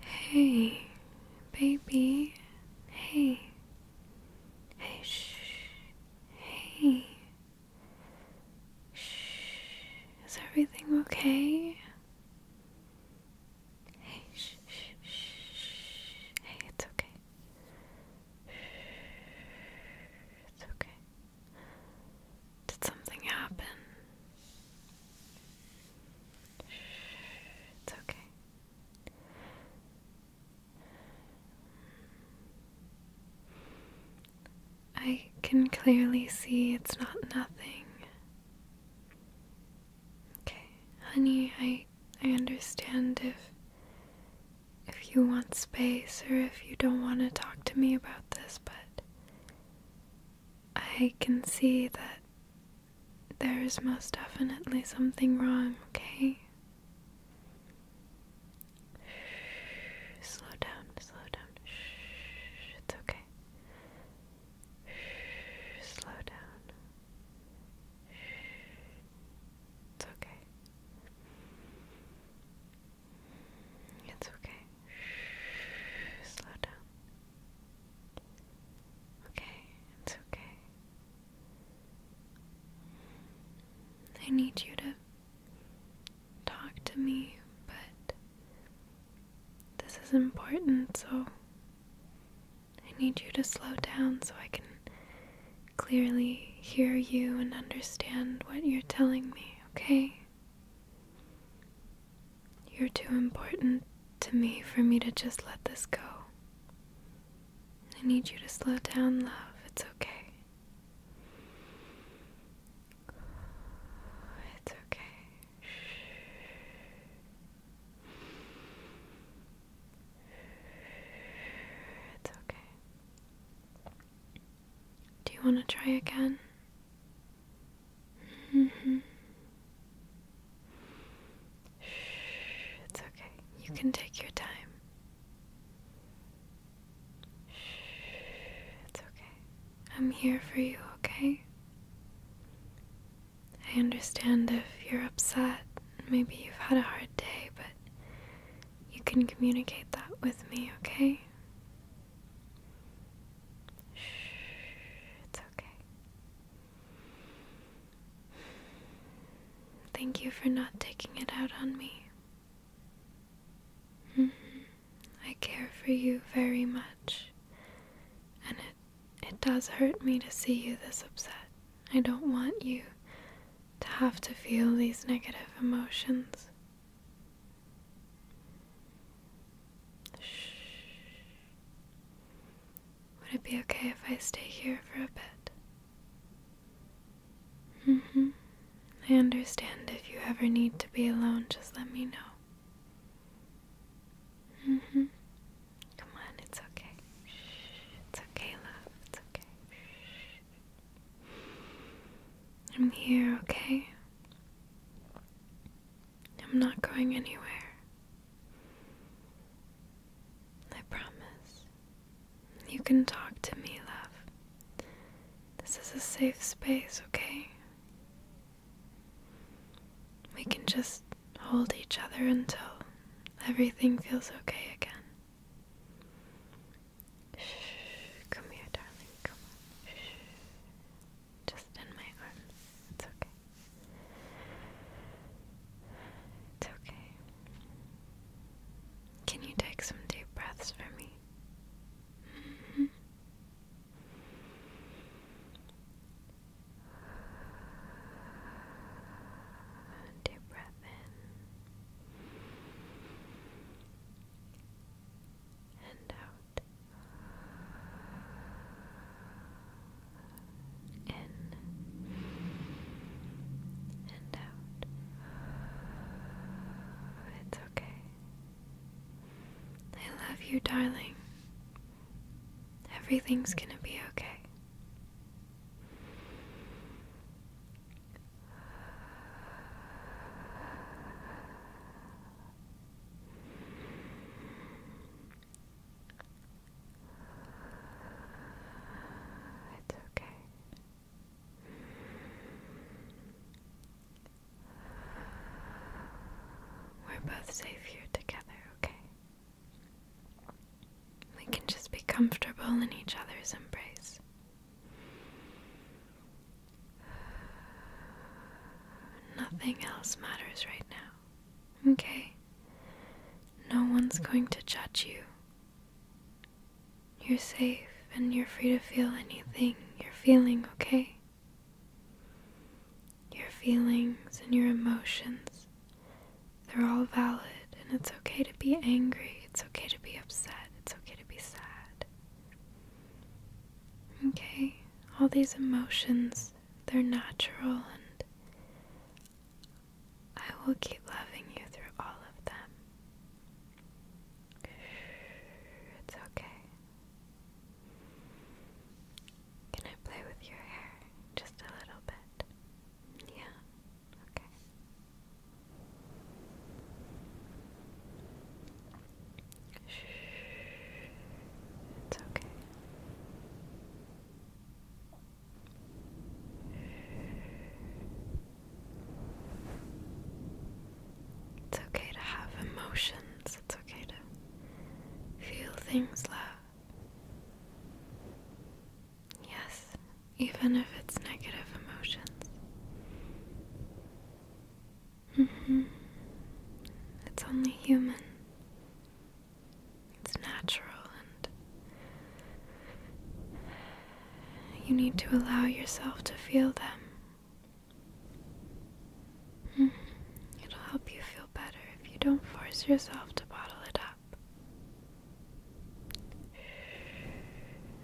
Hey, baby. Hey. Hey, shh. Hey. Shh. Is everything okay? Hey, shh, shh, shh. Hey, it's okay. It's okay. Did something happen? it's okay. I can clearly see it's not nothing. Okay, honey, I I understand if if you want space or if you don't want to talk to me about this, but I can see that there is most definitely something wrong, okay? slow down, slow down. Shh, it's okay. slow down. it's okay. It's okay. slow down. Okay, it's okay. I need you to talk to me, but this is important, so I need you to slow down so I can clearly hear you and understand what you're telling me, okay? You're too important to me for me to just let this go. I need you to slow down, love. It's okay. It's okay. It's okay. Do you want to try again? Mm -hmm. It's okay. You can take your time. It's okay. I'm here for you, okay? I understand if you're upset. Maybe you've had a hard day, but you can communicate that with me, okay? Shh, it's okay. Thank you for not taking it out on me. Mm-hmm. I care for you very much, and it, it does hurt me to see you this upset. I don't want you to have to feel these negative emotions. Shh. Would it be okay if I stay here for a bit? hmm. I understand if you ever need to be alone, just let me know. hmm. Come on, it's okay. Shh. It's okay, love. It's okay. Shh. I'm here, okay? I'm not going anywhere. I promise. You can talk to me, love. This is a safe space, okay? We can just hold each other until everything feels okay again come here, darling. Come on. Just in my arms. It's okay. It's okay. Can you take some deep breaths for me? -hmm. Deep breath in and out. In and out. It's okay. I love you, darling. Everything's gonna be okay. It's okay. We're both safe here together, okay? We can just be comfortable in each other's embrace. Nothing else matters right now, okay? No one's going to judge you. You're safe and you're free to feel anything you're feeling, okay? Your feelings and your emotions, they're all valid, and it's okay to be angry, it's okay to be upset, it's okay to be sad. Okay, all these emotions, they're natural, and I will keep loving you through all of them. It's okay. Can I play with your hair just a little bit? Yeah. Okay. Shh. It's okay. It's okay to have emotions. It's okay to feel things love. Yes, even if it's negative emotions. Mm-hmm. It's only human. It's natural, and you need to allow yourself to feel them. Mm-hmm. It'll help you feel better if you don't force yourself to bottle it up.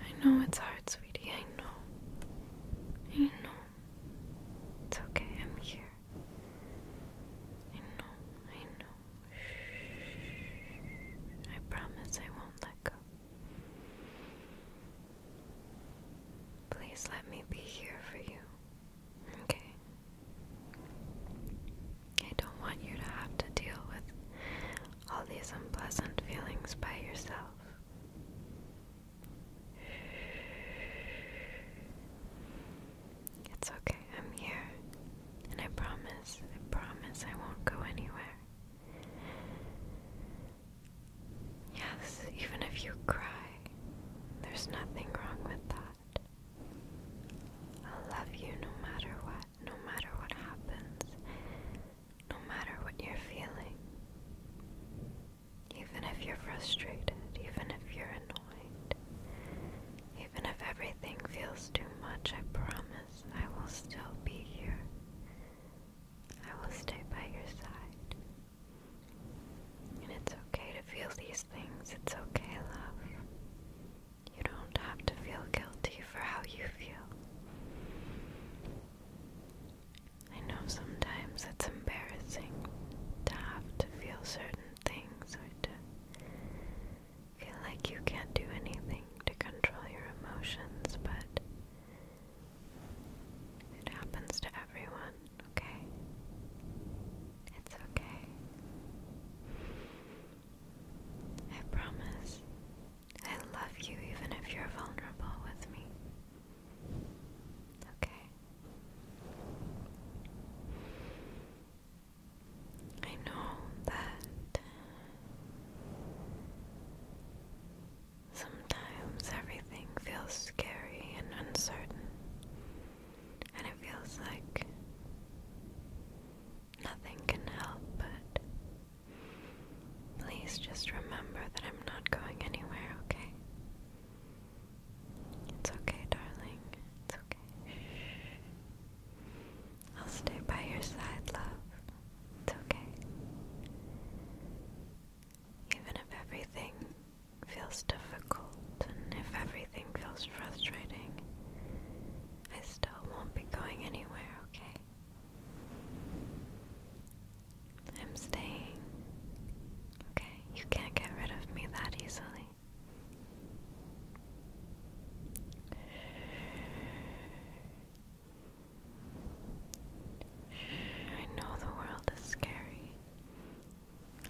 I know it's hard, sweetie. I know. I know. It's okay. I'm here. I know. I know. I promise I won't let go. Please let me be here for you. Okay? I don't want you to have to deal with all these unpleasant feelings by yourself. It's okay, I'm here. And I promise, I promise I won't go anywhere. Yes, even if you cry, there's nothing wrong with that. I'll love you no matter what no matter what happens, no matter what you're feeling, even if you're frustrated, even if you're annoyed, even if everything feels too much, I promise I will still be here. I will stay by your side. And it's okay to feel these things. It's okay, love. You don't have to feel guilty for how you feel. I know sometimes it's embarrassing to have to feel certain things or to feel like you can't do anything to control your emotions, but it happens to everyone, okay? It's okay. I promise I love you even if you're vulnerable with me. Okay. I know that sometimes everything feels scary and uncertain, and it feels like nothing can help but Please just remember that I'm not going anywhere, okay? It's okay, darling. It's okay. I'll stay by your side, love. It's okay. Even if everything feels difficult and if everything feels frustrating, I still won't be going anywhere, okay? I'm staying. Okay, you can't get rid of me that easily. I know the world is scary.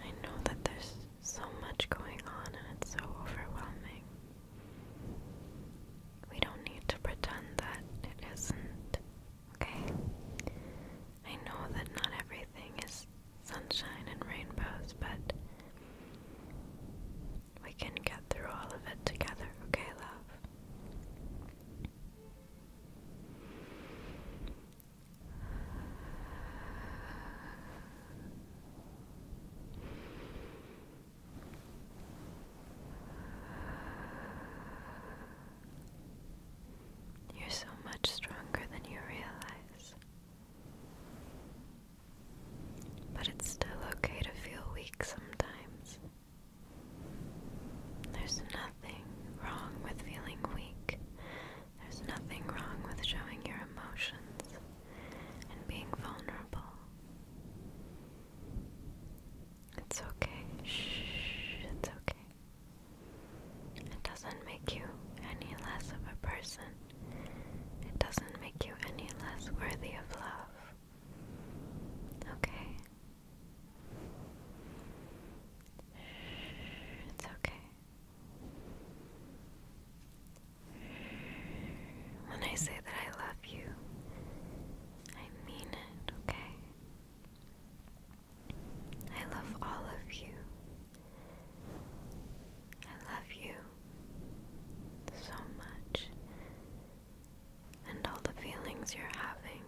I know that there's so much going on and it's so overwhelming. We don't need to pretend that it isn't, okay? I know that not everything is sunshine and rainbows, but we can get through all of it together, okay, love? You're so much stronger than you realize. But it's still okay to feel weak sometimes. There's nothing wrong with feeling weak. There's nothing wrong with showing your emotions and being vulnerable. It's okay. Shh, it's okay. It doesn't make you any less of a person. It doesn't make you any less worthy of love. Okay? Shh, it's okay. When I say that I love you, I mean it, okay? I love all of you. I love you so much. And all the feelings you're having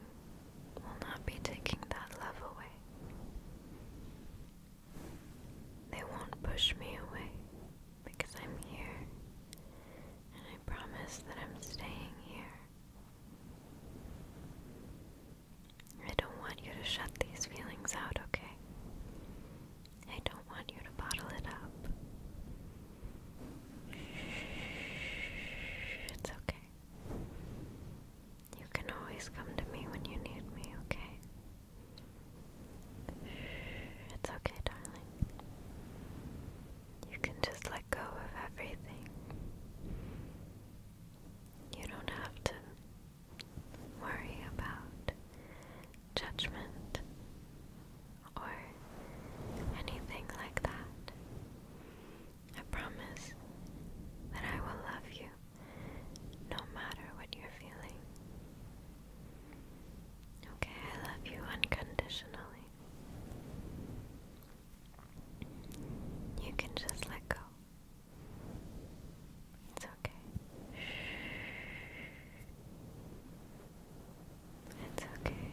will not be taking that love away. They won't push me away because I'm here, and I promise that I'm staying here. I don't want you to shut these feelings out, okay? I don't want you to bottle it up. It's okay. You can always come to me when you need me, okay? It's okay, darling. You can just let go of everything. You don't have to worry about judgment or anything like that. I promise that I will love you no matter what you're feeling. Okay, I love you unconditionally. You can just let go. It's okay. It's okay.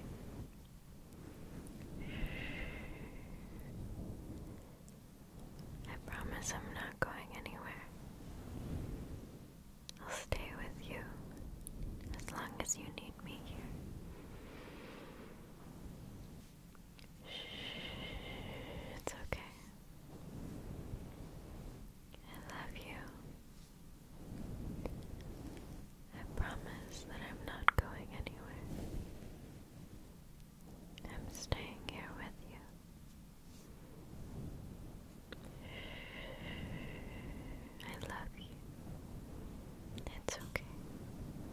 I promise I'm not going anywhere. I'll stay with you as long as you need me here. Shh, it's okay. I love you. I promise that I'm not going anywhere. I'm staying here with you. I love you. It's okay.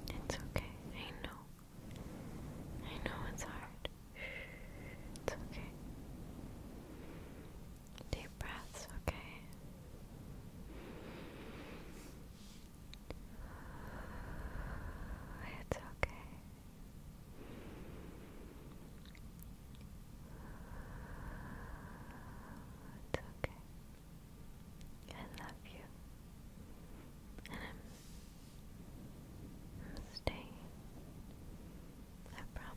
It's okay. I know. I know it's hard. It's okay. Deep breaths, okay? It's okay. It's okay. I love you. And I'm, staying. I promise.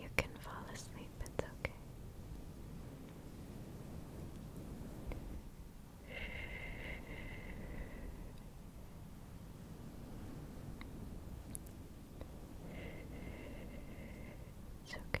You can fall asleep, it's okay. It's okay.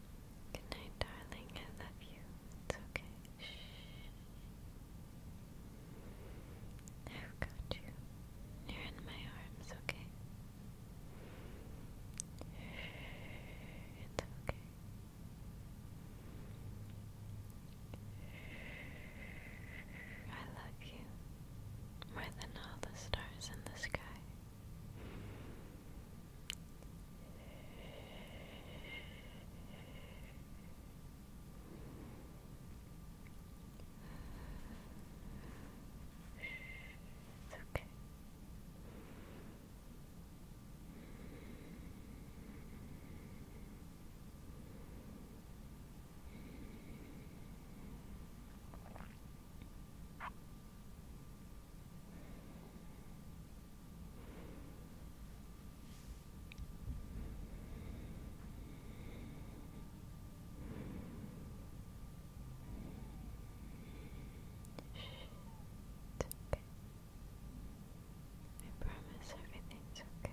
Good night, darling. I love you. It's okay. Shh. I've got you. You're in my arms, okay? It's okay. I love you more than all the stars in the sky. It's okay. Good okay. I promise everything's okay.